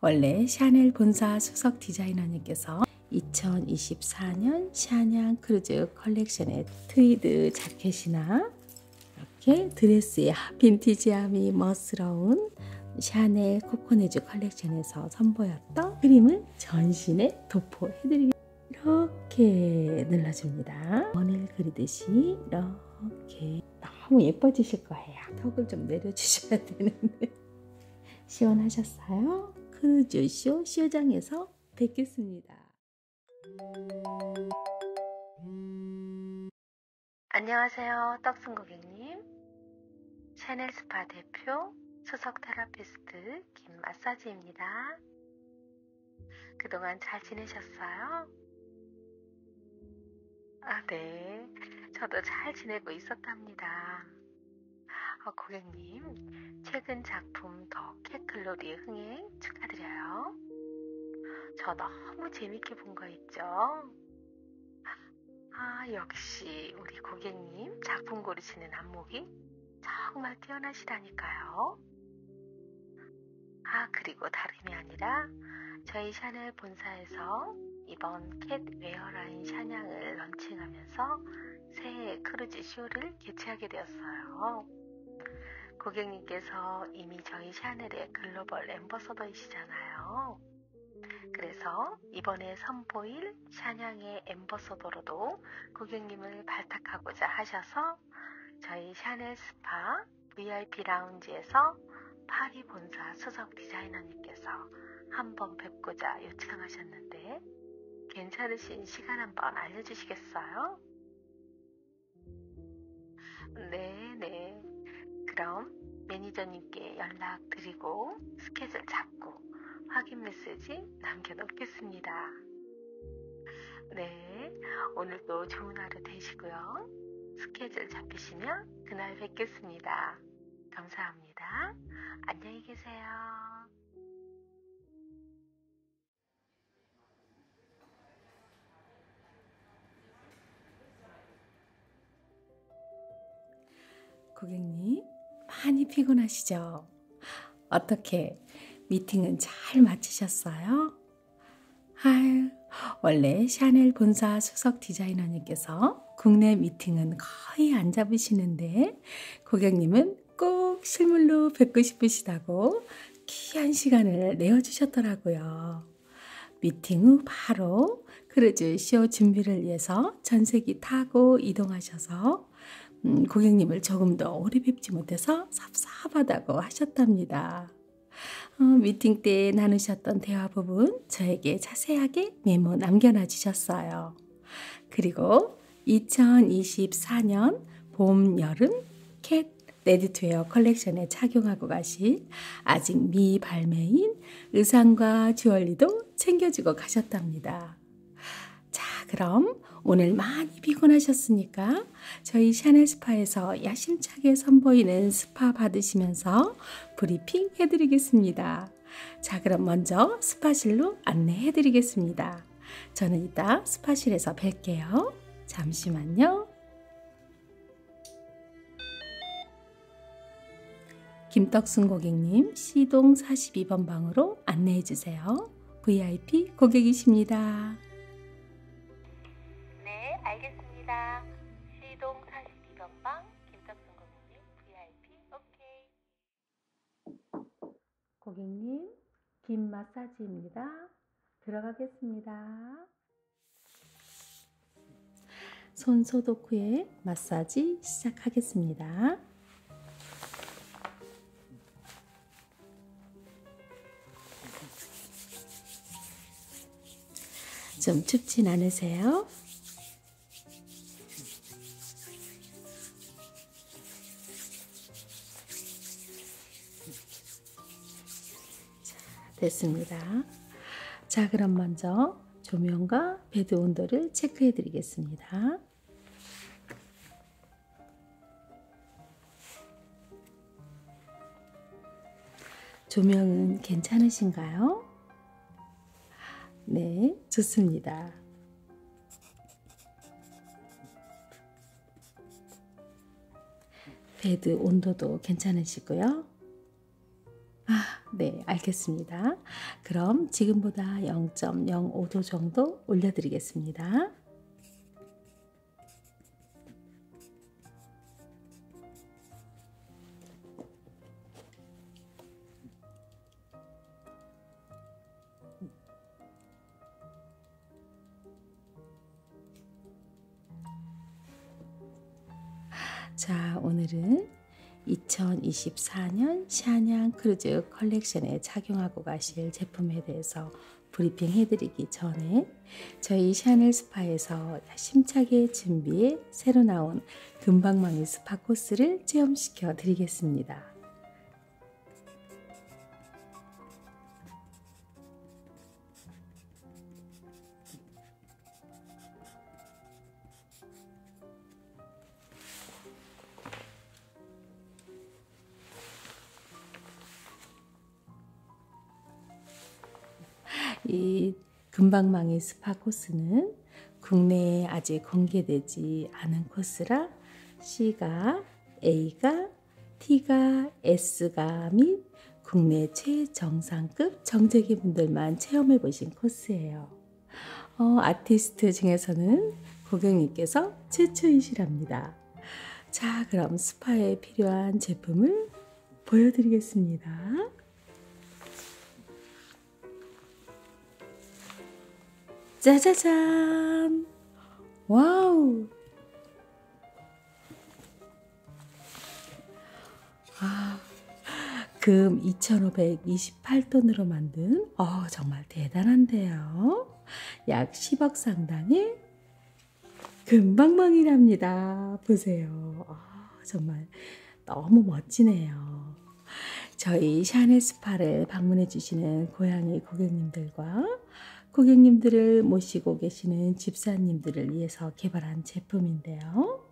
원래 샤넬 본사 수석 디자이너님께서 2024년 샤냥 크루즈 컬렉션의 트위드 자켓이나 이렇게 드레스의 빈티지함이 멋스러운 샤넬 코코네즈 컬렉션에서 선보였던 그림을 전신에 도포해드리겠습니다. 이렇게 눌러줍니다. 원을 그리듯이 이렇게 너무 예뻐지실 거예요. 턱을 좀 내려주셔야 되는데 시원하셨어요? 크루즈쇼 쇼장에서 뵙겠습니다. 안녕하세요. 떡순 고객님. 샤넬 스파 대표 수석 테라피스트 김마사지입니다. 그동안 잘 지내셨어요? 아, 네. 저도 잘 지내고 있었답니다. 어, 고객님, 최근 작품 더 캣글로리 흥행 축하드려요. 저 너무 재밌게 본 거 있죠? 아, 역시 우리 고객님 작품 고르시는 안목이 정말 뛰어나시다니까요. 아, 그리고 다름이 아니라 저희 샤넬 본사에서 이번 캣 웨어라인 샤냥을 런칭하면서 새해 크루즈 쇼를 개최하게 되었어요. 고객님께서 이미 저희 샤넬의 글로벌 엠버서더이시잖아요. 그래서 이번에 선보일 샤냥의 엠버서더로도 고객님을 발탁하고자 하셔서 저희 샤넬 스파 VIP 라운지에서 파리 본사 수석 디자이너님께서 한번 뵙고자 요청하셨는데 괜찮으신 시간 한번 알려주시겠어요? 네네. 네. 그럼 매니저님께 연락드리고 스케줄 잡고 확인 메시지 남겨놓겠습니다. 네. 오늘도 좋은 하루 되시고요. 스케줄 잡히시면 그날 뵙겠습니다. 감사합니다. 안녕히 계세요. 고객님, 많이 피곤하시죠? 어떻게 미팅은 잘 마치셨어요? 아유, 원래 샤넬 본사 수석 디자이너님께서 국내 미팅은 거의 안 잡으시는데 고객님은 꼭 실물로 뵙고 싶으시다고 귀한 시간을 내어주셨더라고요. 미팅 후 바로 크루즈 쇼 준비를 위해서 전세기 타고 이동하셔서 음, 고객님을 조금 더 오래 뵙지 못해서 섭섭하다고 하셨답니다. 어, 미팅 때 나누셨던 대화 부분 저에게 자세하게 메모 남겨놔 주셨어요. 그리고 2024년 봄, 여름 캣 레디투웨어 컬렉션에 착용하고 가실 아직 미발매인 의상과 주얼리도 챙겨주고 가셨답니다. 자, 그럼 오늘 많이 피곤하셨으니까 저희 샤넬 스파에서 야심차게 선보이는 스파 받으시면서 브리핑 해드리겠습니다. 자, 그럼 먼저 스파실로 안내해드리겠습니다. 저는 이따 스파실에서 뵐게요. 잠시만요. 김떡순 고객님 C동 42번 방으로 안내해 주세요. VIP 고객이십니다. 네, 알겠습니다. C동 42번 방 김탁순 고객님 VIP OK. 고객님, 김 마사지입니다. 들어가겠습니다. 손 소독 후에 마사지 시작하겠습니다. 좀 춥진 않으세요? 자, 됐습니다. 자, 그럼 먼저 조명과 베드 온도를 체크해 드리겠습니다. 조명은 괜찮으신가요? 네, 좋습니다. 베드 온도도 괜찮으시고요. 아, 네, 알겠습니다. 그럼 지금보다 0.05도 정도 올려드리겠습니다. 자, 오늘은 2024년 샤냥 크루즈 컬렉션에 착용하고 가실 제품에 대해서 브리핑 해드리기 전에 저희 샤넬 스파에서 위해서 야심차게 준비해 새로 나온 금방망이 스파 코스를 체험시켜 드리겠습니다. 이 금방 망인 스파 코스는 국내에 아직 공개되지 않은 코스라 C가 A가 T가 S가 및 국내 최정상급 정재기 분들만 체험해 보신 코스예요. 어, 아티스트 중에서는 고객님께서 최초이시랍니다. 자, 그럼 스파에 필요한 제품을 보여드리겠습니다. 짜자잔! 와우! 아, 금 2,528돈으로 만든, 어, 정말 대단한데요. 약 10억 상당의 금방망이랍니다. 보세요. 아, 정말 너무 멋지네요. 저희 샤넬 스파를 방문해 주시는 고양이 고객님들과 고객님들을 모시고 계시는 집사님들을 위해서 개발한 제품인데요.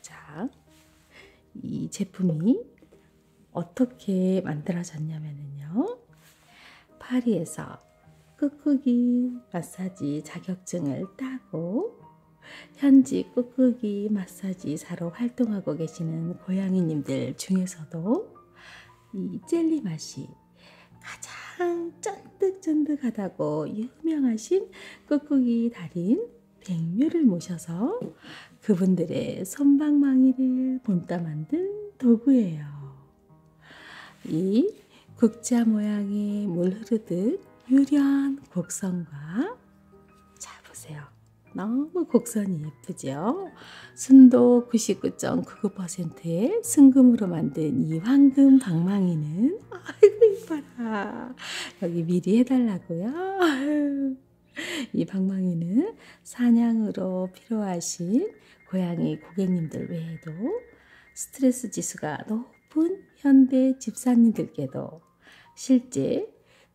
자, 이 제품이 어떻게 만들어졌냐면요. 파리에서 끄끄기 마사지 자격증을 따고 현지 꾹꾹이 마사지사로 활동하고 계시는 고양이님들 중에서도 이 젤리 맛이 가장 쫀득쫀득하다고 유명하신 꾹꾹이 달인 백뮤를 모셔서 그분들의 손방망이를 본따 만든 도구예요. 이 국자 모양의 물 흐르듯 유려한 곡선과 자 보세요. 너무 곡선이 예쁘죠? 순도 99.99%의 순금으로 만든 이 황금 방망이는 아이고 이뻐라. 여기 미리 해달라고요. 이 방망이는 사냥으로 필요하신 고양이 고객님들 외에도 스트레스 지수가 너무 높은 현대 집사님들께도 실제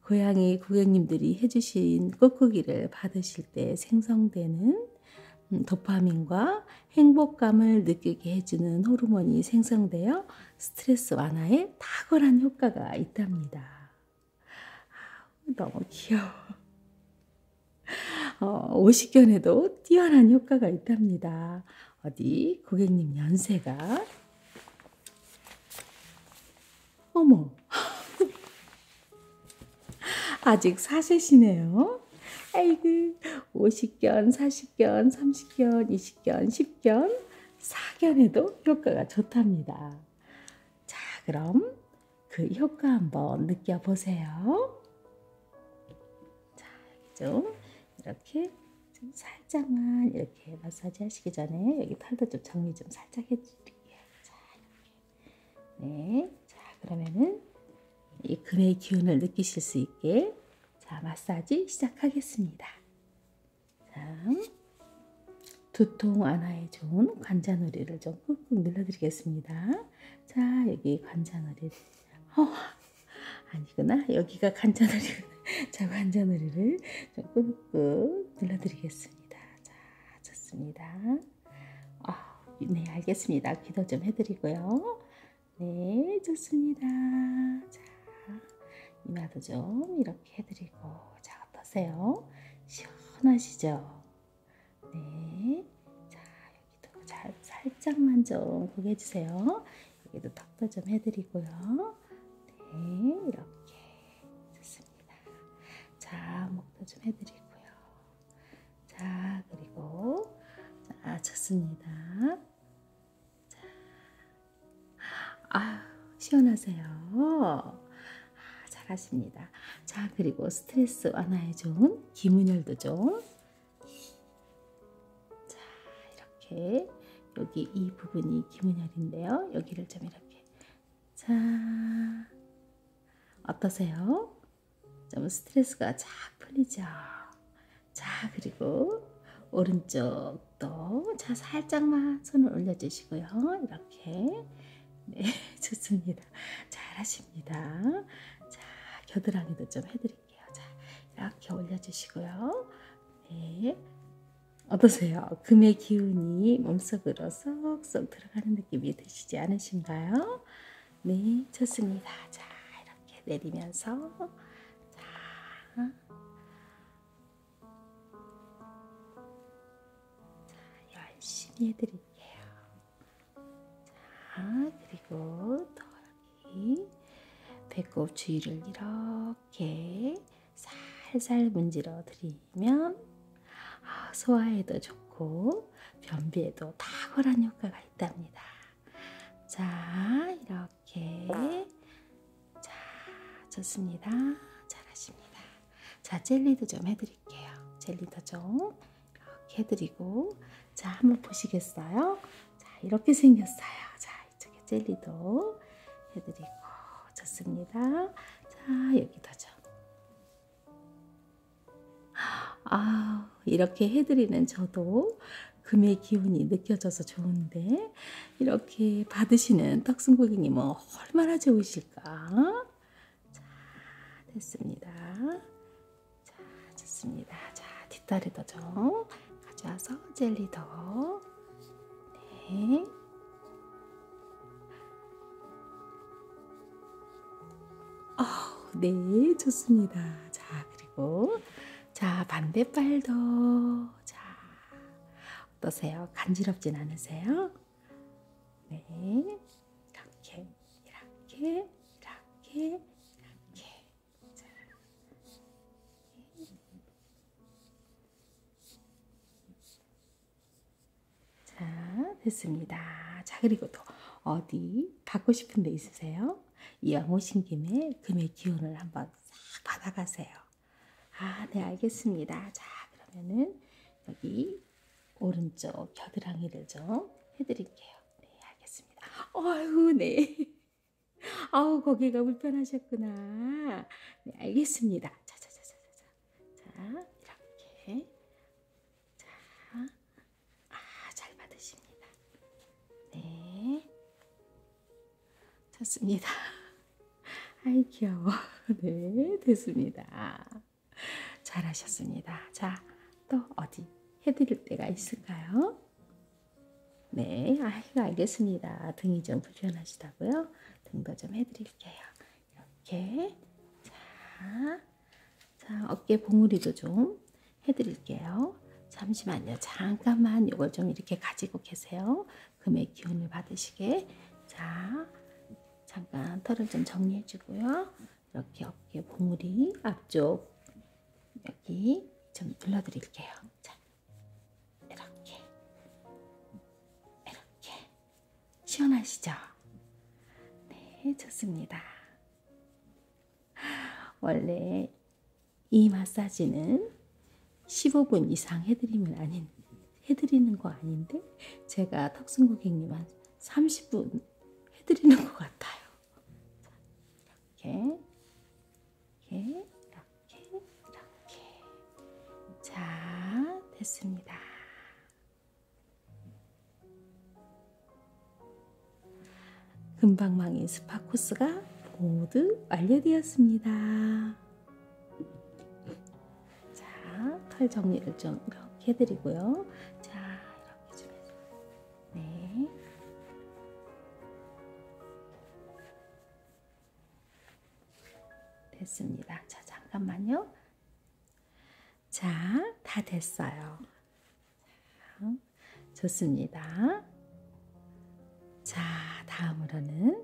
고양이 고객님들이 해주신 꾹꾹이를 받으실 때 생성되는 음, 도파민과 행복감을 느끼게 해주는 호르몬이 생성되어 스트레스 완화에 탁월한 효과가 있답니다. 너무 귀여워. 어, 오십견에도 뛰어난 효과가 있답니다. 어디 고객님 연세가 어머 아직 4세시네요. 아이고 50견, 40견, 30견, 20견, 10견, 4견에도 효과가 좋답니다. 자 그럼 그 효과 한번 느껴보세요. 자, 좀 이렇게 좀 살짝만 이렇게 마사지 하시기 전에 여기 팔도 좀 정리 좀 살짝 해드릴게요. 자, 네. 자, 그러면은 이 금의 기운을 느끼실 수 있게 자, 마사지 시작하겠습니다. 자, 두통 안화에 좋은 관자놀이를 좀 꾹꾹 눌러드리겠습니다. 자, 여기 관자놀이. 어, 아니구나. 여기가 간자놀이. 자, 관자놀이를 좀 꾹꾹 눌러드리겠습니다. 자, 좋습니다. 아, 네, 알겠습니다. 기도 좀 해드리고요. 네, 좋습니다. 자, 이마도 좀 이렇게 해드리고. 자, 어떠세요? 시원하시죠? 네. 자, 여기도 잘, 살짝만 좀 구겨주세요. 여기도 턱도 좀 해드리고요. 네, 이렇게 좋습니다. 자, 목도 좀 해드리고요. 자, 그리고 자, 아, 좋습니다. 자, 아, 시원하세요. 아, 잘하십니다. 자, 그리고 스트레스 완화에 좋은 기문열도 좀 자, 이렇게 여기 이 부분이 기문열인데요. 여기를 좀 이렇게 자 어떠세요? 좀 스트레스가 쫙 풀리죠. 자, 그리고 오른쪽도 자 살짝만 손을 올려주시고요. 이렇게 네 좋습니다. 잘하십니다. 자 겨드랑이도 좀 해드릴게요. 올려드릴게요. 자, 이렇게 올려주시고요. 네. 어떠세요? 금의 기운이 몸속으로 쏙쏙 들어가는 느낌이 드시지 않으신가요? 네, 좋습니다. 자, 이렇게 내리면서. 자. 자, 열심히 해드릴게요. 자, 그리고 더 배꼽 주위를 이렇게 살살 문질러 드리면 아, 소화에도 좋고 변비에도 탁월한 효과가 있답니다. 자, 이렇게 자, 좋습니다. 잘하십니다. 자, 젤리도 좀 해드릴게요. 젤리도 좀 이렇게 해드리고 자, 한번 보시겠어요? 자, 이렇게 생겼어요. 자, 이쪽에 젤리도 해드리고 좋습니다. 자, 여기다죠. 아, 이렇게 해드리는 저도 금의 기운이 느껴져서 좋은데 이렇게 받으시는 떡순 고객님은 얼마나 좋으실까? 자, 됐습니다. 자, 좋습니다. 자, 뒷다리도 좀 가져와서 젤리도. 네. 어, 네, 좋습니다. 자, 그리고 자, 반대발도. 자, 어떠세요? 간지럽진 않으세요? 네. 이렇게, 이렇게, 이렇게, 이렇게. 자. 자, 됐습니다. 자, 그리고 또 어디 받고 싶은 데 있으세요? 이왕 오신 김에 금의 기운을 한번 싹 받아가세요. 아, 네, 알겠습니다. 자, 그러면은 여기 오른쪽 겨드랑이를 좀 해드릴게요. 네, 알겠습니다. 어휴, 네. 아우 거기가 불편하셨구나. 네, 알겠습니다. 자자자자자자. 자 이렇게 자. 아잘 받으십니다. 네. 좋습니다. 아이 귀여워. 네 됐습니다. 잘하셨습니다. 자또 어디 해드릴 때가 있을까요? 네, 아, 알겠습니다. 등이 좀 불편하시다고요? 등도 좀 해드릴게요. 이렇게. 자, 자 어깨 봉우리도 좀 해드릴게요. 잠시만요. 잠깐만 이걸 좀 이렇게 가지고 계세요. 금의 기운을 받으시게. 자, 잠깐 털을 좀 정리해주고요. 이렇게 어깨 봉우리 앞쪽 여기 좀 눌러드릴게요. 자, 이렇게, 이렇게 시원하시죠? 네, 좋습니다. 원래 이 마사지는 15분 이상 해드리면 아닌 해드리는 거 아닌데 제가 턱순 고객님 한 30분 해드리는 것 같아요. 자, 이렇게, 이렇게, 이렇게, 이렇게. 자, 됐습니다. 금방망이 스파 코스가 모두 완료되었습니다. 자, 털 정리를 좀 이렇게 해드리고요. 자, 이렇게 좀 해서 네. 됐습니다. 자, 잠깐만요. 자, 다 됐어요. 자, 좋습니다. 자, 다음으로는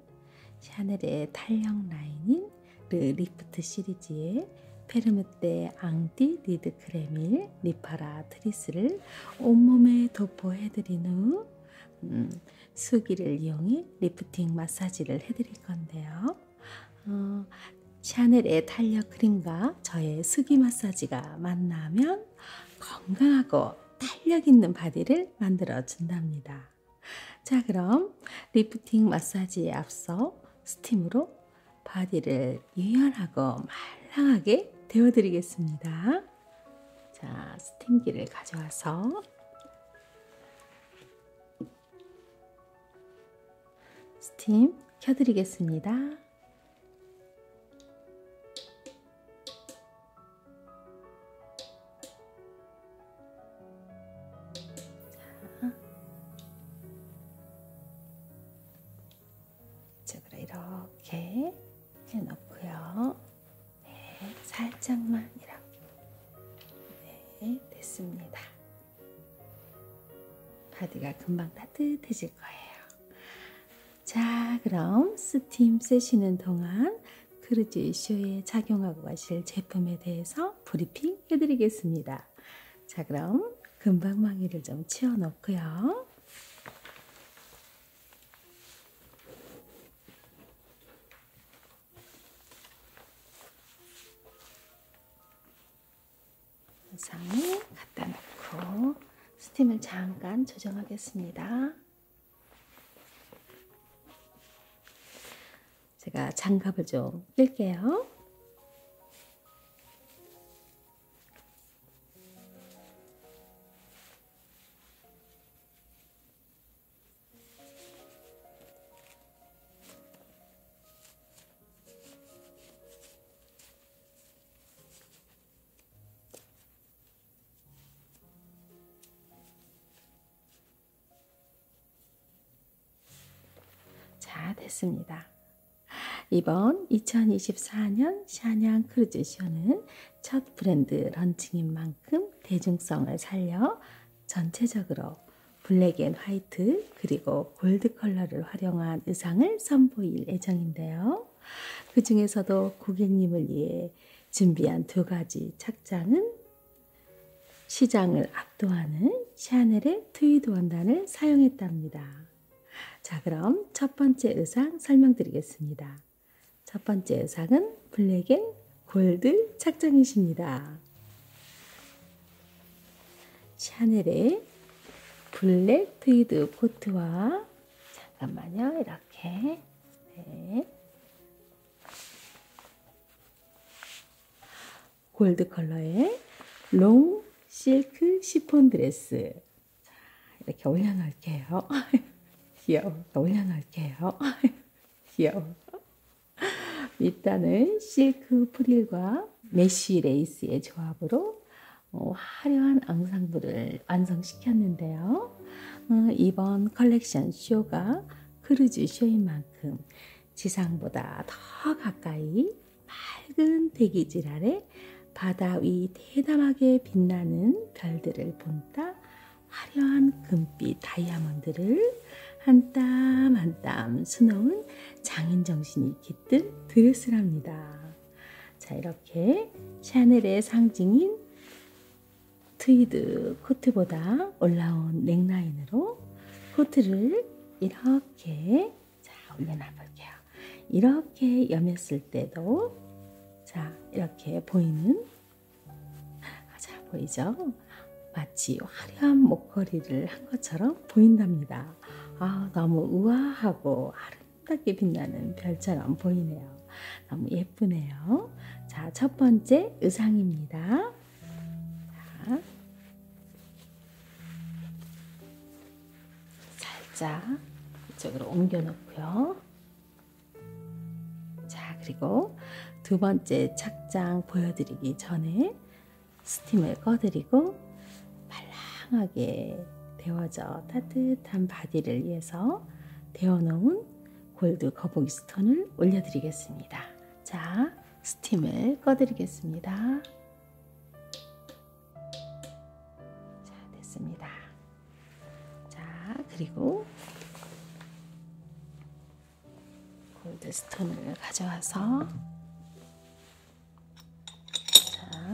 샤넬의 탄력 라인인 르 리프트 시리즈의 페르메떼 앙디 리드 아이드 크림일 리파라 트리스를 온몸에 도포해드린 후 음, 수기를 이용해 리프팅 마사지를 해드릴 건데요. 어, 샤넬의 탄력 크림과 저의 수기 마사지가 만나면 건강하고 탄력 있는 바디를 만들어 준답니다. 자, 그럼 리프팅 마사지에 앞서 스팀으로 바디를 잘 유연하고 말랑하게 데워드리겠습니다. 자, 스팀기를 가져와서 스팀 켜드리겠습니다. 자. 이쪽으로 이렇게 해놓고요. 네, 살짝만 이렇게. 네, 됐습니다. 바디가 금방 따뜻해질 거예요. 자, 그럼 스팀 세시는 동안 크루즈 이슈에 착용하고 가실 제품에 대해서 브리핑 해드리겠습니다. 자, 그럼 금방망이를 좀 치워 놓고요. 상에 갖다 놓고 스팀을 잠깐 조정하겠습니다. 제가 장갑을 좀 뺄게요. 자, 됐습니다. 이번 2024년 샤냥 크루즈쇼는 첫 브랜드 런칭인 만큼 대중성을 살려 전체적으로 블랙 앤 화이트 그리고 골드 컬러를 활용한 의상을 선보일 예정인데요. 그 중에서도 고객님을 위해 준비한 두 가지 착장은 시장을 압도하는 샤넬의 트위드 원단을 사용했답니다. 자, 그럼 첫 번째 의상 설명드리겠습니다. 첫 번째 의상은 블랙앤 골드 착장이십니다. 샤넬의 블랙 트위드 코트와 잠깐만요, 이렇게 네. 골드 컬러의 롱 실크 시폰 드레스 자, 이렇게 올려놓을게요. 귀여워. 올려놓을게요. 귀여워. 밑단은 실크 프릴과 메쉬 레이스의 조합으로 어, 화려한 앙상블을 완성시켰는데요. 어, 이번 컬렉션 쇼가 크루즈 쇼인 만큼 지상보다 더 가까이 맑은 대기질 아래 바다 위 대담하게 빛나는 별들을 본따 화려한 금빛 다이아몬드를 한 땀 한땀 한 땀 수놓은 장인 정신이 깃든 드레스랍니다. 자, 이렇게 샤넬의 상징인 트위드 코트보다 올라온 넥라인으로 코트를 이렇게 자, 올려놔 볼게요. 이렇게 염했을 때도 자, 이렇게 보이는 아, 자, 보이죠? 마치 화려한 목걸이를 한 것처럼 보인답니다. 아, 너무 우아하고 아름답게 빛나는 별처럼 보이네요. 너무 예쁘네요. 자, 첫 번째 의상입니다. 자, 살짝 이쪽으로 옮겨놓고요. 자, 그리고 두 번째 착장 보여드리기 전에 스팀을 꺼드리고 말랑하게 데워져 따뜻한 바디를 위해서 데워놓은 골드 거북이 스톤을 올려드리겠습니다. 자, 스팀을 꺼드리겠습니다. 자, 됐습니다. 자, 그리고 골드스톤을 가져와서 자,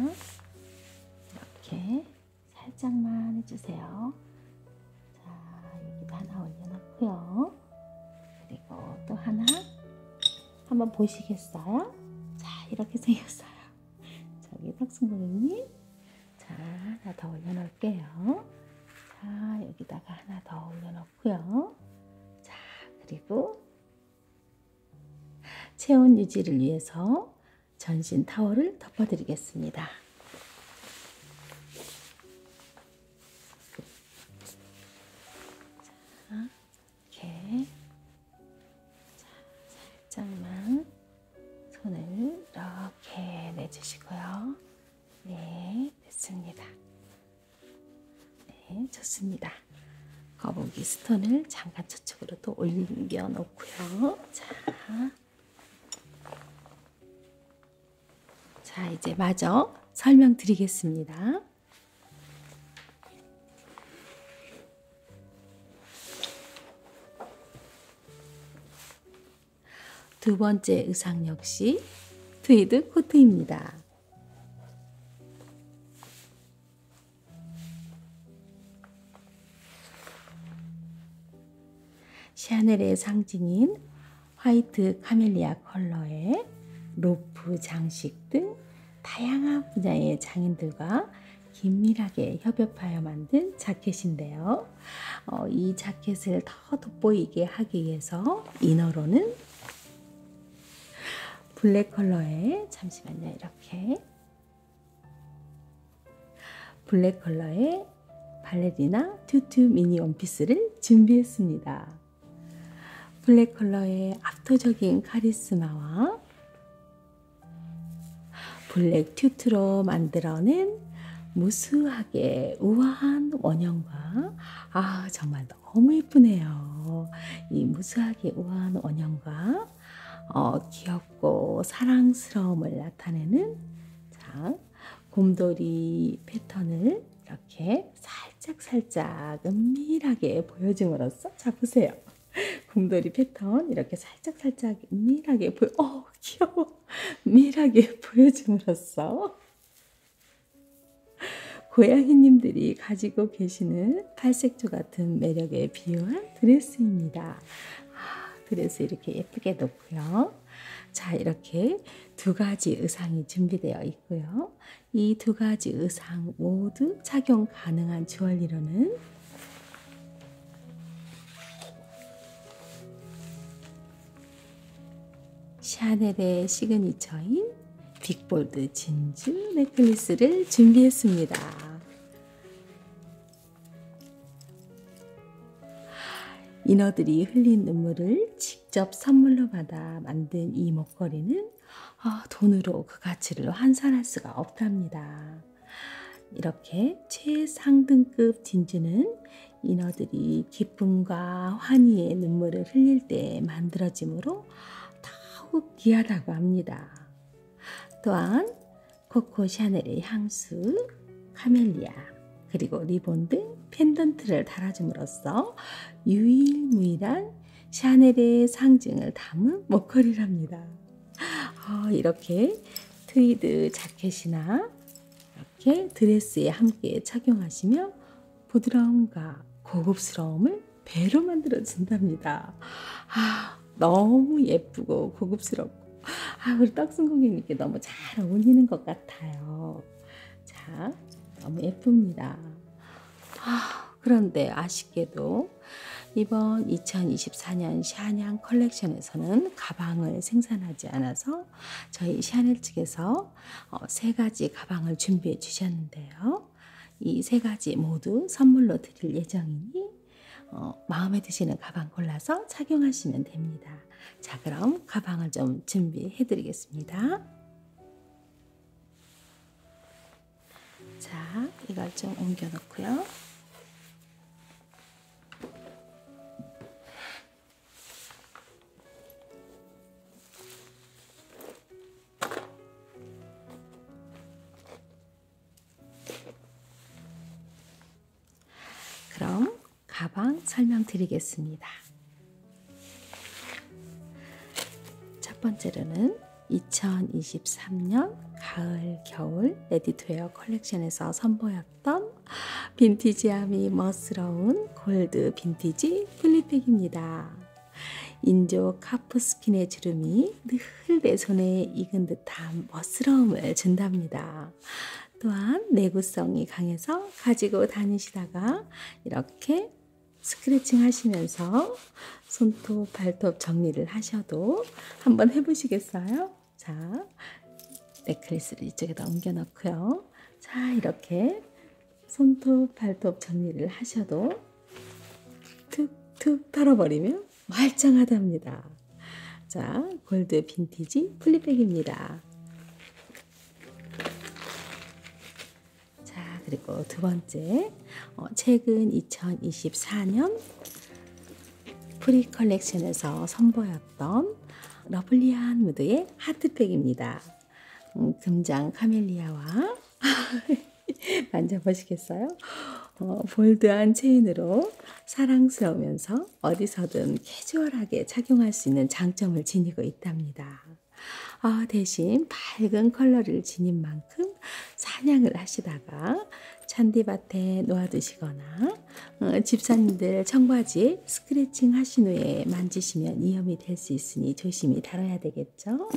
이렇게 살짝만 해주세요. 자, 여기도 하나 올려놓고요. 그리고 또 하나 한번 보시겠어요? 자, 이렇게 생겼어요. 저기 탁순 고객님. 자, 하나 더 올려놓을게요. 자, 여기다가 하나 더 올려놓고요. 자, 그리고 체온 유지를 위해서 전신 타월을 덮어드리겠습니다. 자, 이렇게 자, 살짝만 손을 이렇게 내주시고요. 네, 됐습니다. 네, 좋습니다. 거북이 스톤을 잠깐 저쪽으로 또 올려놓고요. 자, 자 이제 마저 설명드리겠습니다. 두 번째 의상 역시 트위드 코트입니다. 샤넬의 상징인 화이트 카멜리아 컬러에 로프 장식 등 다양한 분야의 장인들과 긴밀하게 협업하여 만든 자켓인데요. 어, 이 자켓을 더 돋보이게 하기 위해서 이너로는 블랙 컬러에 잠시만요. 이렇게 블랙 컬러의 발레리나 튜투 미니 원피스를 준비했습니다. 블랙 컬러의 압도적인 카리스마와 블랙 튜트로 만들어낸 무수하게 우아한 원형과 아 정말 너무 예쁘네요. 이 무수하게 우아한 원형과 어, 귀엽고 사랑스러움을 나타내는 자 곰돌이 패턴을 이렇게 살짝살짝 은밀하게 보여줌으로써 자 보세요. 곰돌이 패턴 이렇게 살짝 살짝 미밀하게 보여. 어 귀여워. 미밀하게 보여줌으로써 고양이님들이 가지고 계시는 팔색조 같은 매력에 비유한 드레스입니다. 아, 드레스 이렇게 예쁘게 놓고요. 자, 이렇게 두 가지 의상이 준비되어 있고요. 이 두 가지 의상 모두 착용 가능한 주얼리로는 샤넬의 시그니처인 빅볼드 진주 넥클리스를 준비했습니다. 인어들이 흘린 눈물을 직접 선물로 받아 만든 이 목걸이는 아, 돈으로 그 가치를 환산할 수가 없답니다. 이렇게 최상등급 진주는 인어들이 기쁨과 환희의 눈물을 흘릴 때 만들어지므로 더욱 귀하다고 합니다. 또한 코코 샤넬의 향수, 카멜리아, 그리고 리본 등 펜던트를 달아줌으로써 유일무이한 샤넬의 상징을 담은 목걸이랍니다. 어, 이렇게 트위드 자켓이나 이렇게 드레스에 함께 착용하시면 부드러움과 고급스러움을 배로 만들어진답니다. 아, 너무 예쁘고 고급스럽고 아, 우리 떡순공님께 너무 잘 어울리는 것 같아요. 자, 너무 예쁩니다. 아, 그런데 아쉽게도 이번 2024년 샤냥 컬렉션에서는 가방을 생산하지 않아서 저희 샤넬 측에서 어, 세 가지 가방을 준비해 주셨는데요. 이 세 가지 모두 선물로 드릴 예정이니 어, 마음에 드시는 가방 골라서 착용하시면 됩니다. 자, 그럼 가방을 좀 준비해 드리겠습니다. 자, 이걸 좀 옮겨 놓고요. 그럼 가방 설명드리겠습니다. 첫 번째로는 2023년 가을 겨울 레디투웨어 컬렉션에서 선보였던 빈티지함이 멋스러운 골드 빈티지 플리팩입니다. 인조 카프스킨의 주름이 늘 내 손에 익은 듯한 멋스러움을 준답니다. 또한 내구성이 강해서 가지고 다니시다가 이렇게 스크래칭 하시면서 손톱, 발톱 정리를 하셔도 한번 해보시겠어요? 자, 넥클리스를 이쪽에다 옮겨놓고요. 자, 이렇게 손톱, 발톱 정리를 하셔도 툭툭 털어버리면 말짱하답니다. 자, 골드 빈티지 플립백입니다. 자, 그리고 두 번째. 어, 최근 2024년 프리 컬렉션에서 선보였던 러블리한 무드의 하트팩입니다. 음, 금장 카멜리아와 만져보시겠어요? 어, 볼드한 체인으로 사랑스러우면서 어디서든 캐주얼하게 착용할 수 있는 장점을 지니고 있답니다. 어, 대신 밝은 컬러를 지닌 만큼 만큼 사냥을 하시다가 잔디밭에 놓아두시거나 어, 집사님들 청바지 스크래칭 하신 후에 만지시면 위험이 될 수 있으니 조심히 다뤄야 되겠죠?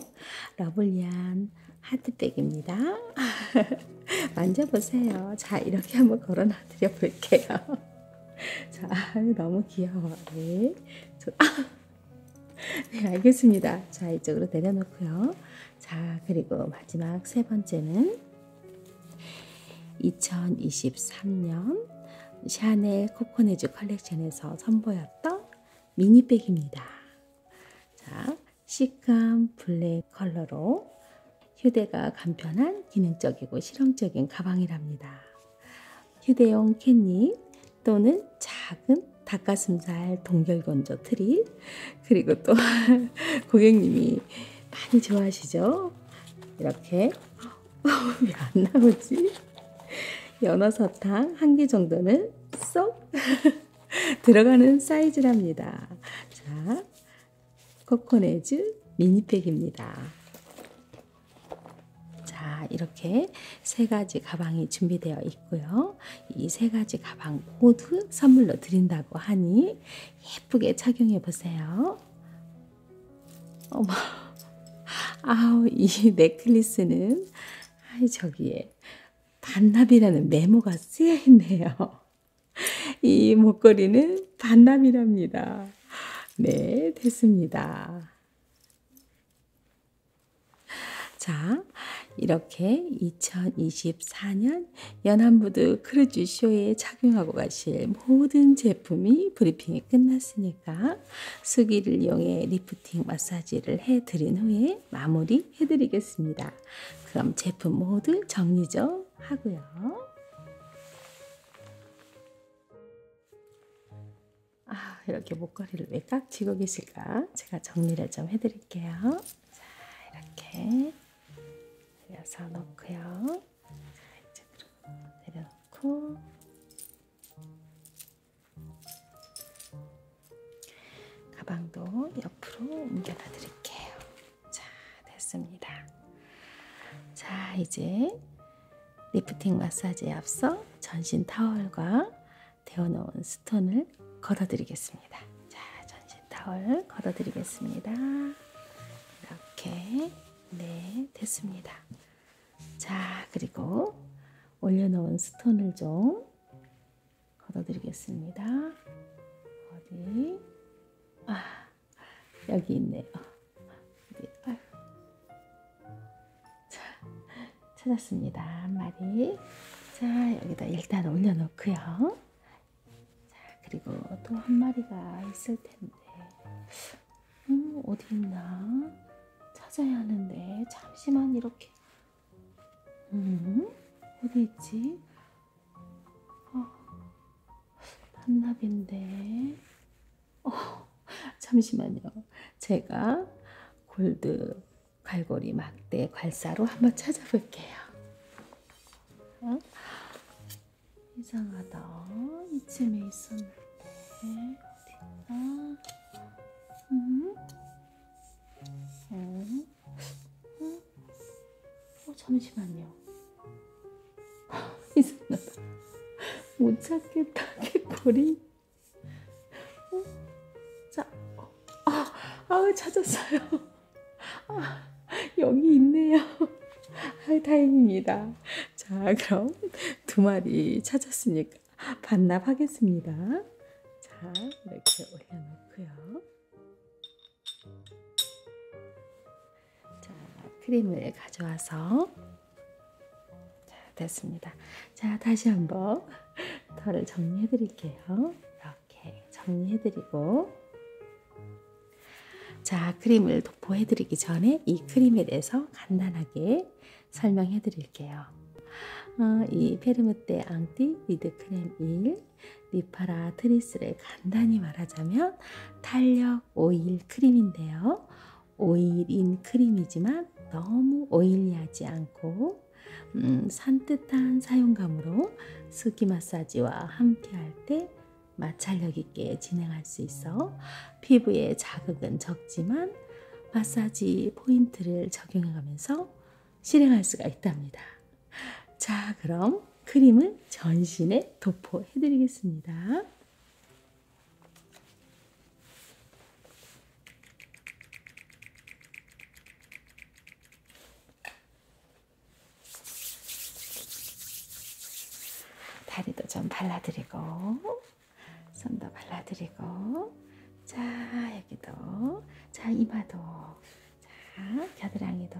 러블리한 하드백입니다. 만져보세요. 자, 이렇게 한번 걸어놔드려 볼게요. 자, 너무 귀여워. 네. 저, 아! 네, 알겠습니다. 자, 이쪽으로 내려놓고요. 자, 그리고 마지막 세 번째는 2023년 샤넬 코코네즈 컬렉션에서 선보였던 미니백입니다. 자, 시크한 블랙 컬러로 휴대가 간편한 기능적이고 실용적인 가방이랍니다. 휴대용 캔닙, 또는 작은 닭가슴살 동결건조 트리 그리고 또 고객님이 많이 좋아하시죠? 이렇게 어, 왜안 나오지? 연어사탕 한 개 정도는 쏙 들어가는 사이즈랍니다. 자, 코코네즈 미니팩입니다. 자, 이렇게 세 가지 가방이 준비되어 있고요. 이 세 가지 가방 모두 선물로 드린다고 하니 예쁘게 착용해 보세요. 어머, 아우, 이 넥클리스는, 아이, 저기에, 반납이라는 메모가 쓰여 있네요. 이 목걸이는 반납이랍니다. 네, 됐습니다. 자, 이렇게 2024년 연안부두 크루즈 쇼에 착용하고 가실 모든 제품이 브리핑이 끝났으니까 수기를 이용해 리프팅 마사지를 해드린 후에 마무리 해드리겠습니다. 그럼 제품 모두 정리 좀 하고요. 아, 이렇게 목걸이를 왜 깍지고 계실까? 제가 정리를 좀 해드릴게요. 자, 이렇게 내려서 놓고요. 자, 이쪽으로 내려놓고. 가방도 옆으로 옮겨놔 드릴게요. 자, 됐습니다. 자, 이제 리프팅 마사지에 앞서 전신 타월과 데워 놓은 스톤을 걸어 드리겠습니다. 자, 전신 타월 걸어 드리겠습니다. 이렇게 네, 됐습니다. 자, 그리고 올려 놓은 스톤을 좀 걸어 드리겠습니다. 어디? 아, 여기 있네요. 어디? 아유. 자, 찾았습니다. 한 마리. 자, 여기다 일단 올려놓고요. 자, 그리고 또 한 마리가 있을 텐데. 음, 어디 있나? 찾아야 하는데. 잠시만, 이렇게. 음, 어디 있지? 어, 반납인데. 어, 잠시만요. 제가 골드 갈고리 막대 괄사로 한번 찾아볼게요. 응? 이상하다. 이쯤에 있었는데 어딨나? 응? 응? 응? 어 잠시만요. 이상하다. 못 찾겠다. 개꼬리. 어? 자, 아, 아 찾았어요. 아, 여기 있네요. 아, 다행입니다. 자, 그럼 두 마리 찾았으니까 반납하겠습니다. 자, 이렇게 올려놓고요. 자, 크림을 가져와서 자, 됐습니다. 자, 다시 한번 털을 정리해 드릴게요. 이렇게 정리해 드리고 자, 크림을 도포해 드리기 전에 이 크림에 대해서 간단하게 설명해 드릴게요. 어, 이 페르메떼 앙티 리드 크림 1 리파라 트리스를 간단히 말하자면 탄력 오일 크림인데요. 오일인 크림이지만 너무 오일리하지 않고 음, 산뜻한 사용감으로 스기 마사지와 함께할 때 마찰력 있게 진행할 수 있어 피부에 자극은 적지만 마사지 포인트를 적용해가면서 실행할 수가 있답니다. 자, 그럼 크림을 전신에 도포해드리겠습니다. 다리도 좀 발라드리고 손도 발라드리고 자 여기도 자 이마도 자 겨드랑이도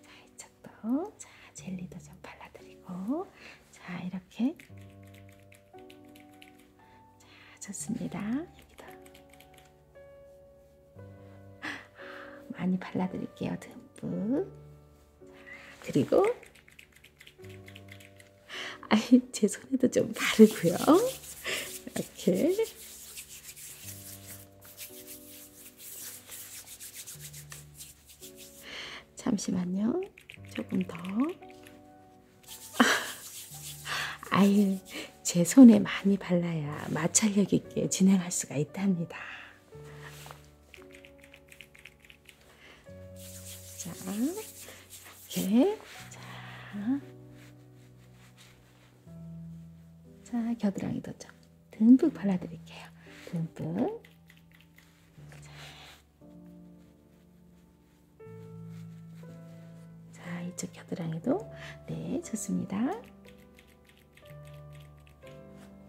자 이쪽도 자 젤리도 좀 발라드리고 자 이렇게 자, 좋습니다. 여기다 많이 발라드릴게요. 듬뿍. 그리고 아이 제 손에도 좀 바르고요. 이렇게. 잠시만요. 조금 더. 아유, 제 손에 많이 발라야 마찰력 있게 진행할 수가 있답니다. 자, 이렇게. 자, 자 겨드랑이도 좀 듬뿍 발라드릴게요. 듬뿍. 자, 자, 이쪽 겨드랑이도 네, 좋습니다.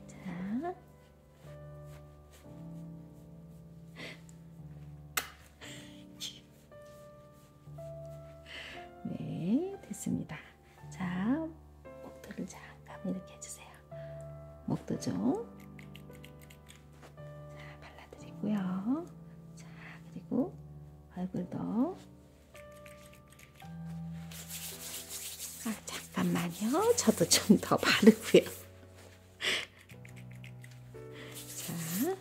자. 네, 됐습니다. 자, 목도를 잠깐 이렇게 해주세요. 목도 좀. 자, 발라드리고요. 자, 그리고 얼굴도. 아, 잠깐만요. 저도 좀 더 바르고요. 자.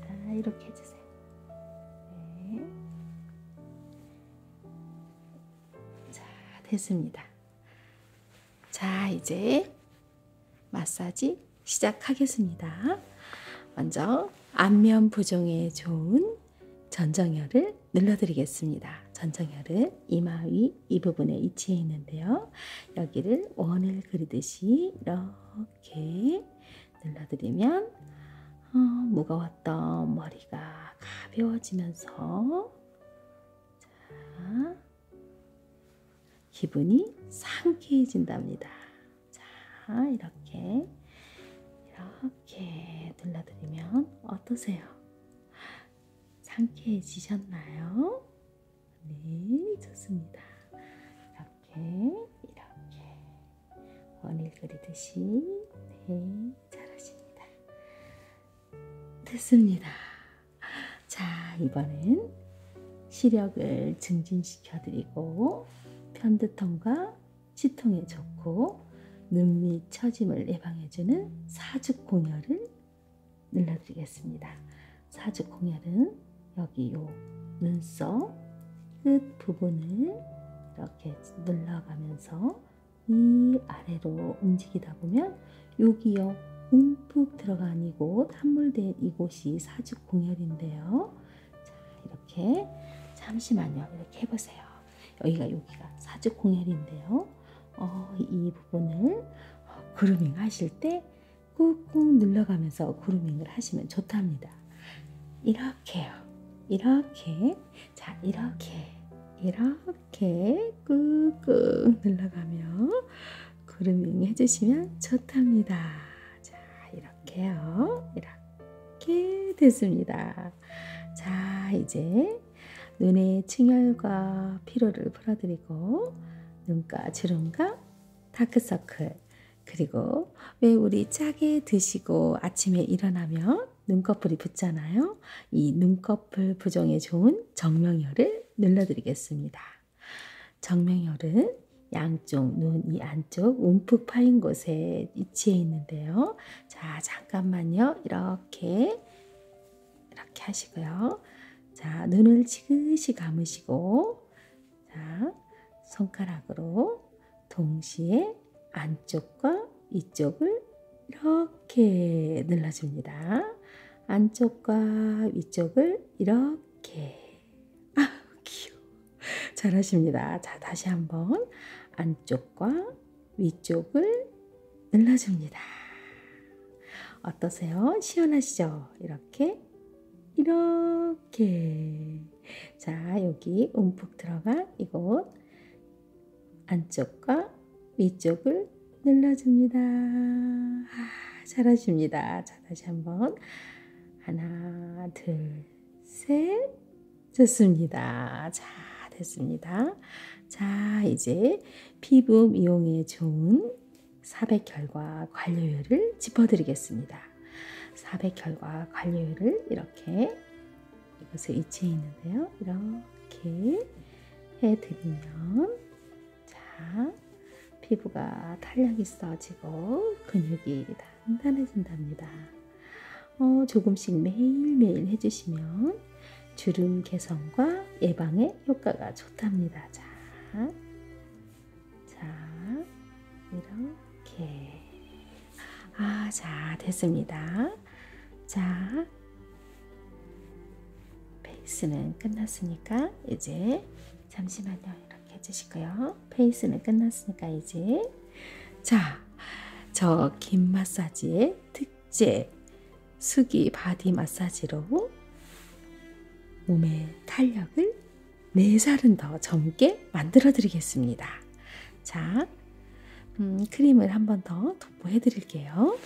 자, 이렇게 해주세요. 네. 자, 됐습니다. 자, 이제 마사지 시작하겠습니다. 먼저 안면 부종에 좋은 전정혈을 눌러드리겠습니다. 전정혈은 이마 위 이 부분에 위치해 있는데요. 여기를 원을 그리듯이 이렇게 눌러드리면 어, 무거웠던 머리가 가벼워지면서 자, 기분이 상쾌해진답니다. 자, 이렇게 이렇게 둘러드리면 어떠세요? 상쾌해지셨나요? 네, 좋습니다. 이렇게 이렇게 원일 그리듯이 네, 잘하십니다. 됐습니다. 자, 이번엔 시력을 증진시켜 드리고 편두통과 치통에 좋고 눈밑 처짐을 예방해 주는 사죽 공혈을 눌러 드리겠습니다. 사죽 공혈은 여기 요 눈썹 끝 부분을 이렇게 눌러가면서 이 아래로 움직이다 보면 여기요 움푹 들어간 이곳 함몰된 이곳이 사죽 공혈인데요. 자 이렇게 잠시만요 이렇게 해보세요. 여기가 여기가 사죽 공혈인데요. 어, 이 부분을 그루밍 하실 때 꾹꾹 눌러가면서 그루밍을 하시면 좋답니다. 이렇게요. 이렇게 자 이렇게 이렇게 이렇게 꾹꾹 눌러가며 그루밍 해주시면 좋답니다. 자, 이렇게요. 이렇게 됐습니다. 자, 이제 눈의 충혈과 피로를 풀어드리고 눈과 주름과 다크서클 그리고 왜 우리 짜게 드시고 아침에 일어나면 눈꺼풀이 붓잖아요. 이 눈꺼풀 부종에 좋은 정명혈을 눌러드리겠습니다. 정명혈은 양쪽 눈 이 안쪽 움푹 파인 곳에 위치해 있는데요. 자, 잠깐만요. 이렇게 이렇게 하시고요. 자, 눈을 지그시 감으시고 자, 손가락으로 동시에 안쪽과 이쪽을 이렇게 눌러줍니다. 안쪽과 위쪽을 이렇게 아 귀여워 잘하십니다. 자 다시 한번 안쪽과 위쪽을 눌러줍니다. 어떠세요? 시원하시죠? 이렇게 이렇게 자 여기 움푹 들어간 이곳 안쪽과 위쪽을 눌러줍니다. 아, 잘하십니다. 자, 다시 한번. 하나, 둘, 셋. 좋습니다. 자, 됐습니다. 자, 이제 피부 미용에 좋은 400혈과 관료율을 짚어드리겠습니다. 400혈과 관료율을 이렇게 이곳에 위치해 있는데요. 이렇게 해드리면 자 피부가 탄력 있어지고 근육이 단단해진답니다. 어, 조금씩 매일매일 해주시면 주름 개선과 예방에 효과가 좋답니다. 자, 자 이렇게 아, 자 됐습니다. 자, 페이스는 끝났으니까 이제 잠시만요. 이렇게 해주시고요. 페이스는 끝났으니까 이제 자, 저 긴 마사지의 특제 수기 바디 마사지로 몸의 탄력을 4살은 더 젊게 만들어 드리겠습니다. 자, 음, 크림을 한 번 더 도포해 드릴게요.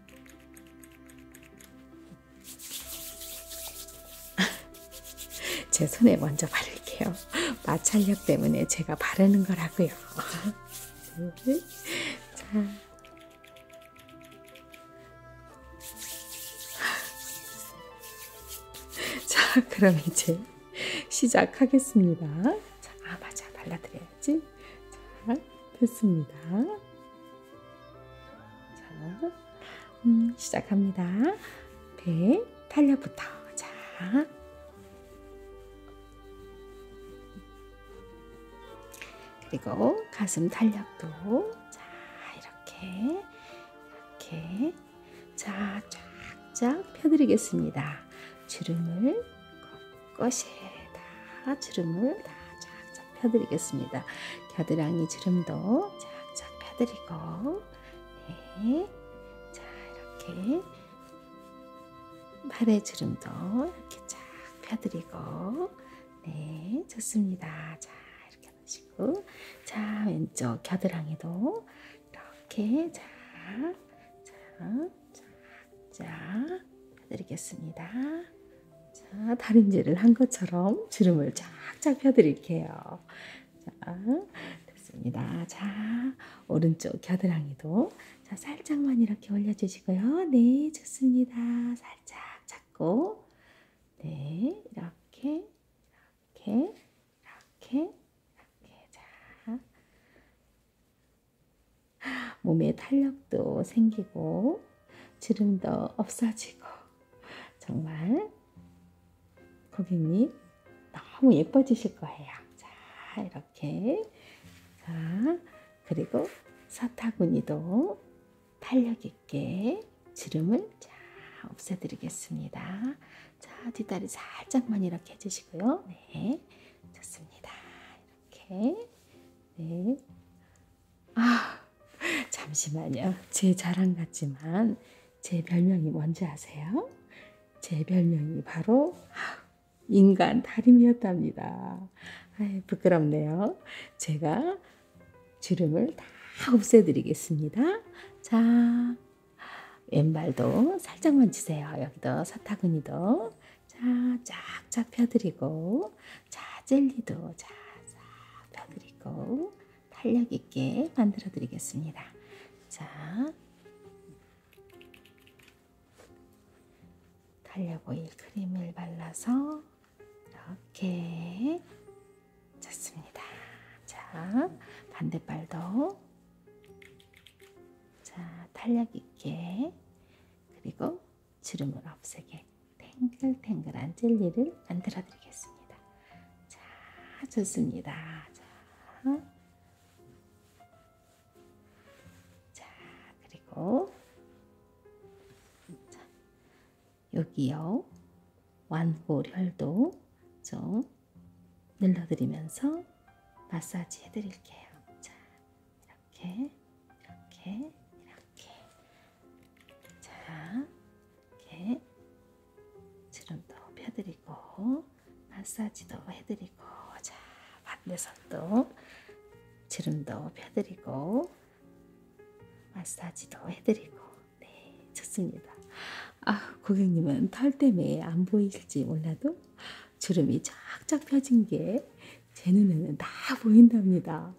제 손에 먼저 바를게요. 마찰력 때문에 제가 바르는 거라고요. 자. 자, 그럼 이제 시작하겠습니다. 자, 아 맞아, 발라드려야 됐지? 자, 됐습니다. 자, 음, 시작합니다. 배 탄력부터. 자, 그리고 가슴 탄력도. 자, 이렇게, 이렇게. 자, 쫙쫙 펴드리겠습니다. 주름을 꽃에다 주름을 다 쫙쫙 펴드리겠습니다. 겨드랑이 주름도 쫙쫙 펴드리고 네. 자 이렇게 팔의 주름도 이렇게 쫙 펴드리고 네 좋습니다. 자 이렇게 하시고 자 왼쪽 겨드랑이도 이렇게 자, 자 쫙쫙 펴드리겠습니다. 자, 다림질을 한 것처럼 주름을 쫙쫙 펴드릴게요. 자, 됐습니다. 자, 오른쪽 겨드랑이도 자, 살짝만 이렇게 올려주시고요. 네, 좋습니다. 살짝 잡고, 네, 이렇게, 이렇게, 이렇게, 이렇게, 자, 몸에 탄력도 생기고 지름도 없어지고 정말 고객님 너무 예뻐지실 거예요. 자 이렇게 자 그리고 사타구니도 탄력 있게 지름을 자 없애드리겠습니다. 자 뒷다리 살짝만 이렇게 해주시고요. 네 좋습니다. 이렇게. 네. 아, 잠시만요. 제 자랑 같지만 제 별명이 뭔지 아세요? 제 별명이 바로 아, 인간 다림이었답니다. 아이, 부끄럽네요. 제가 주름을 다 없애드리겠습니다. 자, 왼발도 살짝만 치세요. 여기도 사타구니도. 자, 쫙쫙 펴드리고, 자, 젤리도 쫙, 쫙 펴드리고, 탄력 있게 만들어드리겠습니다. 자, 탄력 오일 크림을 발라서 이렇게 짰습니다. 자, 반대발도 자, 탄력 있게 그리고 주름을 없애게 탱글탱글한 젤리를 만들어 드리겠습니다. 자, 좋습니다. 자, 자 그리고 자, 여기요. 완골혈도 좀 눌러드리면서 마사지 해드릴게요. 자, 이렇게, 이렇게, 이렇게. 자, 이렇게. 주름도 펴드리고, 마사지도 해드리고, 자, 반대손도 주름도 펴드리고, 마사지도 해드리고, 네, 좋습니다. 아, 고객님은 털 때문에 안 보이실지 몰라도 주름이 쫙쫙 펴진 게제 눈에는 다 보인답니다.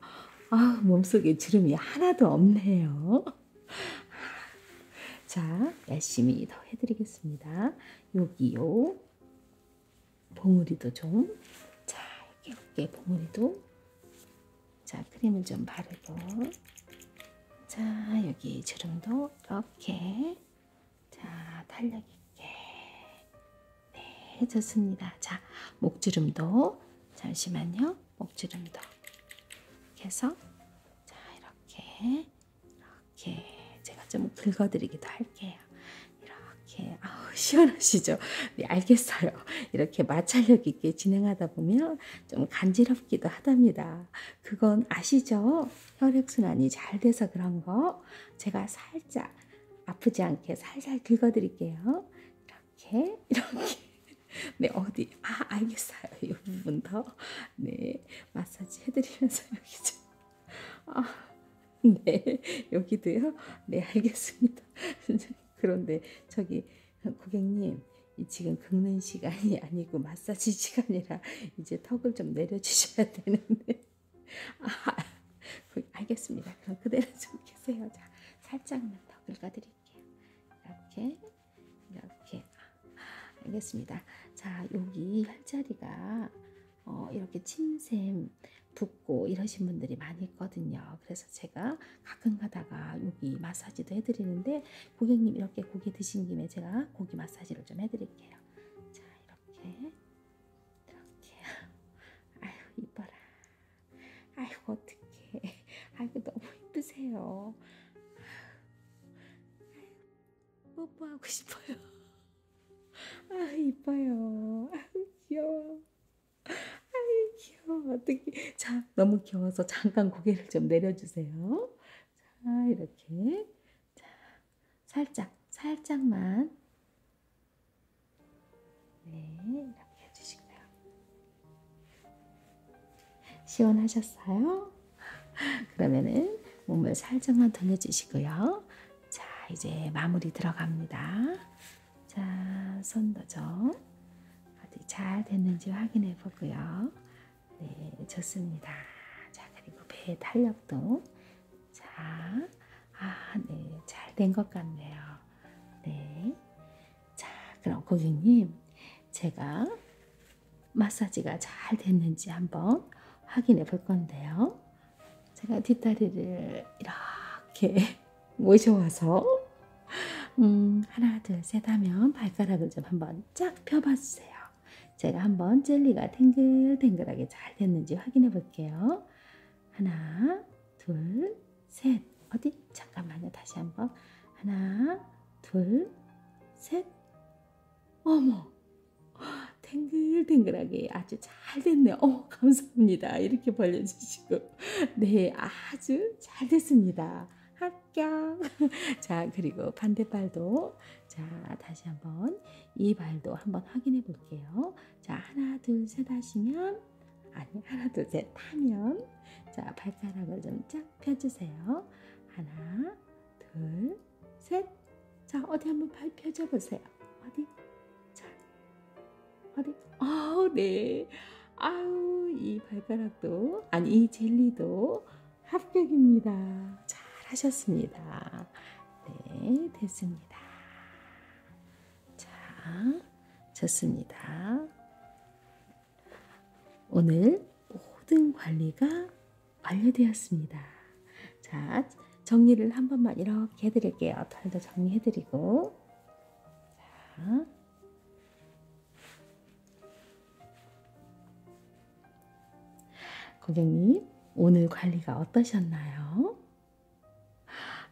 아, 몸속에 주름이 하나도 없네요. 아, 자, 열심히 더 해드리겠습니다. 여기요. 봉우리도 좀. 자, 이렇게, 이렇게 봉우리도. 자, 크림을 좀 바르고. 자, 여기 주름도 이렇게. 자, 탄력 있게. 네, 좋습니다. 자, 목주름도 잠시만요. 목주름도 이렇게 해서 자, 이렇게 이렇게 제가 좀 긁어드리기도 할게요. 이렇게 아우 시원하시죠? 네, 알겠어요. 이렇게 마찰력 있게 진행하다 보면 좀 간지럽기도 하답니다. 그건 아시죠? 혈액순환이 잘 돼서 그런 거 제가 살짝 아프지 않게 살살 긁어드릴게요. 이렇게, 이렇게. 네, 어디, 아, 알겠어요. 이 부분 더. 네, 마사지 해드리면서 여기 좀. 아, 네, 여기도요. 네, 알겠습니다. 그런데 저기, 고객님. 지금 긁는 시간이 아니고 마사지 시간이라 이제 턱을 좀 내려주셔야 되는데 아, 알겠습니다. 그럼 그대로 좀 계세요. 자, 살짝만 더 긁어드릴게요. 이렇게, 이렇게. 알겠습니다. 자, 여기 혈자리가 어, 이렇게 침샘 붓고 이러신 분들이 많이 있거든요. 그래서 제가 가끔 가다가 여기 마사지도 해드리는데 고객님 이렇게 고기 드신 김에 제가 고기 마사지를 좀 해드릴게요. 자, 이렇게 이렇게 아유 이뻐라 아이고 어떡해 아이고 너무 이쁘세요 아유, 뽀뽀하고 싶어요 아 이뻐요 아유 귀여워 아유 귀여워 어떡해 자 너무 귀여워서 잠깐 고개를 좀 내려주세요 자 이렇게 자, 살짝, 살짝만. 네, 이렇게 해주시고요. 시원하셨어요? 그러면은 몸을 살짝만 돌려주시고요. 자, 이제 마무리 들어갑니다. 자, 손도 좀 어디 잘 됐는지 확인해 보고요. 네, 좋습니다. 자, 그리고 배의 탄력도 자, 아, 네, 잘 된 것 같네요. 네. 자, 그럼 고객님, 제가 마사지가 잘 됐는지 한번 확인해 볼 건데요. 제가 뒷다리를 이렇게 모셔와서, 음, 하나, 둘, 셋 하면 발가락을 좀 한번 쫙 펴봐주세요. 제가 한번 젤리가 탱글탱글하게 잘 됐는지 확인해 볼게요. 하나, 둘, 셋. 어디? 잠깐만요. 다시 한번. 하나, 둘, 셋. 어머. 탱글탱글하게 아주 잘 됐네요. 어, 감사합니다. 이렇게 벌려주시고. 네, 아주 잘 됐습니다. 합격. 자, 그리고 반대발도. 자, 다시 한번. 이 발도 한번 확인해 볼게요. 자, 하나, 둘, 셋 하시면, 아니, 하나, 둘, 셋 하면, 자, 발가락을 좀 쫙 펴주세요. 하나, 둘, 셋. 자, 어디 한번 발 펴줘 보세요. 어디? 자, 어디? 어, 네. 아우, 이 발가락도, 아니, 이 젤리도 합격입니다. 잘 하셨습니다. 네, 됐습니다. 자, 좋습니다. 오늘 모든 관리가 완료되었습니다. 자, 정리를 한 번만 이렇게 해드릴게요. 털도 정리해드리고. 자. 고객님, 오늘 관리가 어떠셨나요?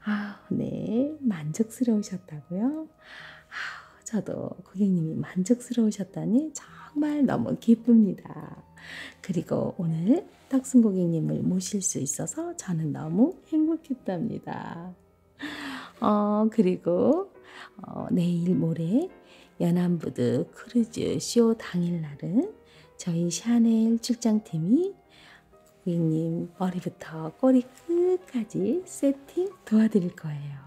아, 네, 만족스러우셨다고요? 아, 저도 고객님이 만족스러우셨다니 정말 너무 기쁩니다. 그리고 오늘 탁순 고객님을 모실 수 있어서 저는 너무 행복했답니다. 어, 그리고 어, 내일 모레 연안부두 크루즈 쇼 당일날은 저희 샤넬 출장팀이 고객님 머리부터 꼬리 끝까지 세팅 도와드릴 거예요.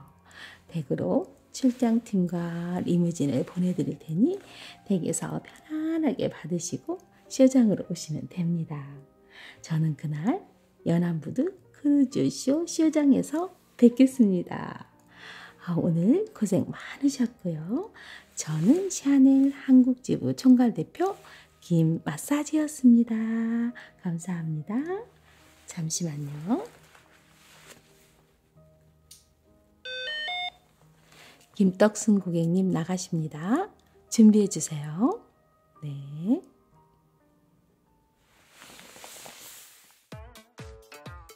댁으로 출장팀과 리무진을 보내드릴 테니 댁에서 편안하게 받으시고 쇼장으로 오시면 됩니다. 저는 그날 연안부두 크루즈쇼 쇼장에서 뵙겠습니다. 아, 오늘 고생 많으셨고요. 저는 샤넬 한국지부 총괄대표 김마사지였습니다. 감사합니다. 잠시만요. 김떡순 고객님 나가십니다. 준비해 주세요. 네.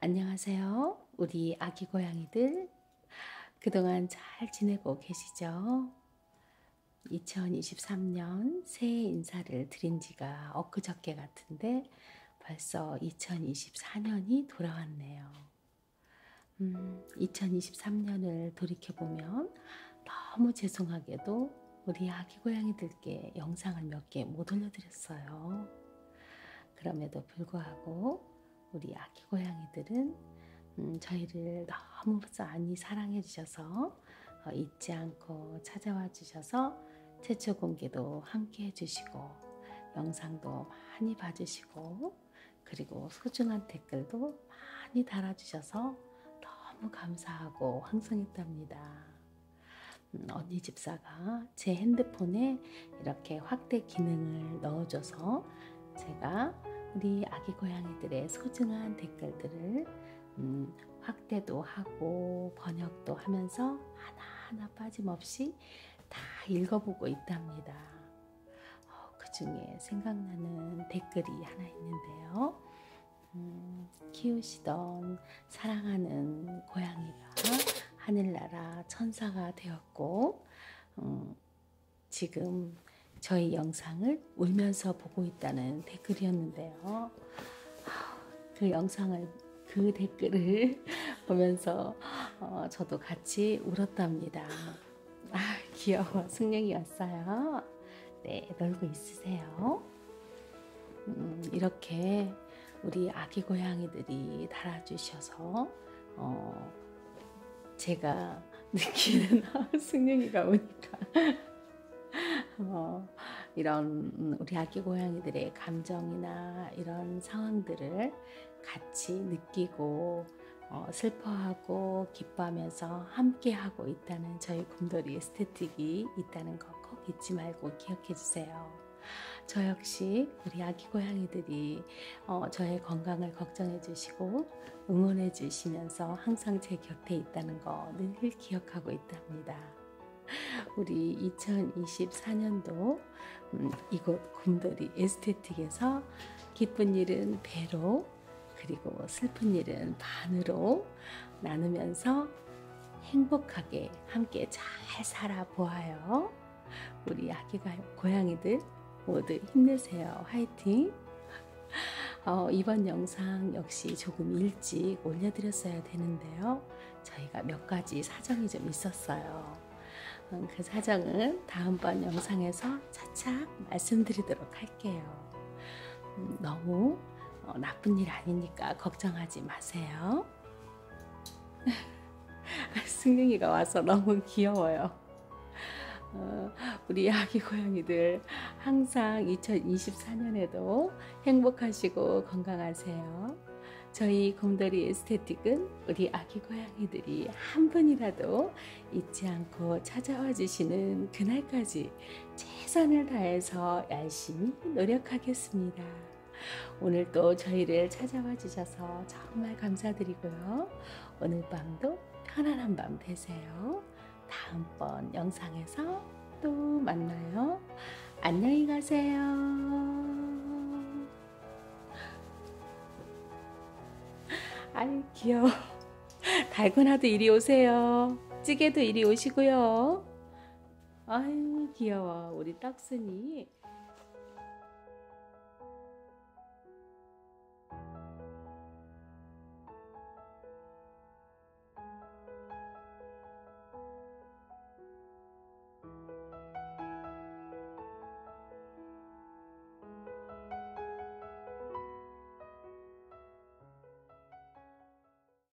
안녕하세요. 우리 아기 고양이들. 그동안 잘 지내고 계시죠? 2023년 새해 인사를 드린 지가 엊그저께 같은데 벌써 2024년이 돌아왔네요. 음, 2023년을 돌이켜보면 너무 죄송하게도 우리 아기 고양이들께 영상을 몇 여기에 못 올려드렸어요. 그럼에도 불구하고 우리 아기 고양이들은 음, 저희를 너무 많이 사랑해 주셔서 어, 잊지 않고 찾아와 주셔서 최초 공개도 함께 해주시고 영상도 많이 봐주시고 그리고 소중한 댓글도 많이 달아주셔서 너무 감사하고 황성했답니다. 음, 언니 집사가 제 핸드폰에 이렇게 확대 기능을 넣어줘서 제가 우리 아기 고양이들의 소중한 댓글들을 음, 확대도 하고 번역도 하면서 하나하나 빠짐없이 다 읽어보고 있답니다. 어, 그 중에 생각나는 댓글이 하나 있는데요. 음, 키우시던 사랑하는 고양이가 하늘나라 천사가 되었고 음, 지금 저희 영상을 울면서 보고 있다는 댓글이었는데요. 그 영상을 그 댓글을 보면서 어, 저도 같이 울었답니다. 아 귀여워 승냥이 왔어요. 네 놀고 있으세요. 음, 이렇게 우리 아기 고양이들이 달아주셔서 어, 제가 느끼는 승영이가 오니까 어, 이런 우리 아기 고양이들의 감정이나 이런 상황들을 같이 느끼고 어, 슬퍼하고 기뻐하면서 함께하고 있다는 저희 곰돌이 에스테틱이 있다는 거꼭 잊지 말고 기억해 주세요. 저 역시 우리 아기 고양이들이 어, 저의 건강을 걱정해 주시고 응원해 주시면서 항상 제 곁에 있다는 거늘 기억하고 있답니다. 우리 2024년도 음, 이곳 곰돌이 에스테틱에서 기쁜 일은 배로 그리고 슬픈 일은 반으로 나누면서 행복하게 함께 잘 살아보아요. 우리 아기가 고양이들 모두 힘내세요. 화이팅! 어, 이번 영상 역시 조금 일찍 올려드렸어야 되는데요. 저희가 몇 가지 사정이 좀 있었어요. 음, 그 사정은 다음번 영상에서 차차 말씀드리도록 할게요. 음, 너무 어, 나쁜 일 아니니까 걱정하지 마세요. 아, 승능이가 와서 너무 귀여워요. 어, 우리 아기 고양이들 항상 2024년에도 행복하시고 건강하세요. 저희 곰돌이 에스테틱은 우리 아기 고양이들이 한 분이라도 잊지 않고 찾아와 주시는 그날까지 최선을 다해서 열심히 열심히 노력하겠습니다. 오늘 또 저희를 찾아와 주셔서 정말 감사드리고요. 오늘 밤도 편안한 밤 되세요. 다음번 영상에서 또 만나요. 안녕히 가세요. 아이 귀여워 달고나도 이리 오세요 찌개도 이리 오시고요 아유 귀여워 우리 딱순이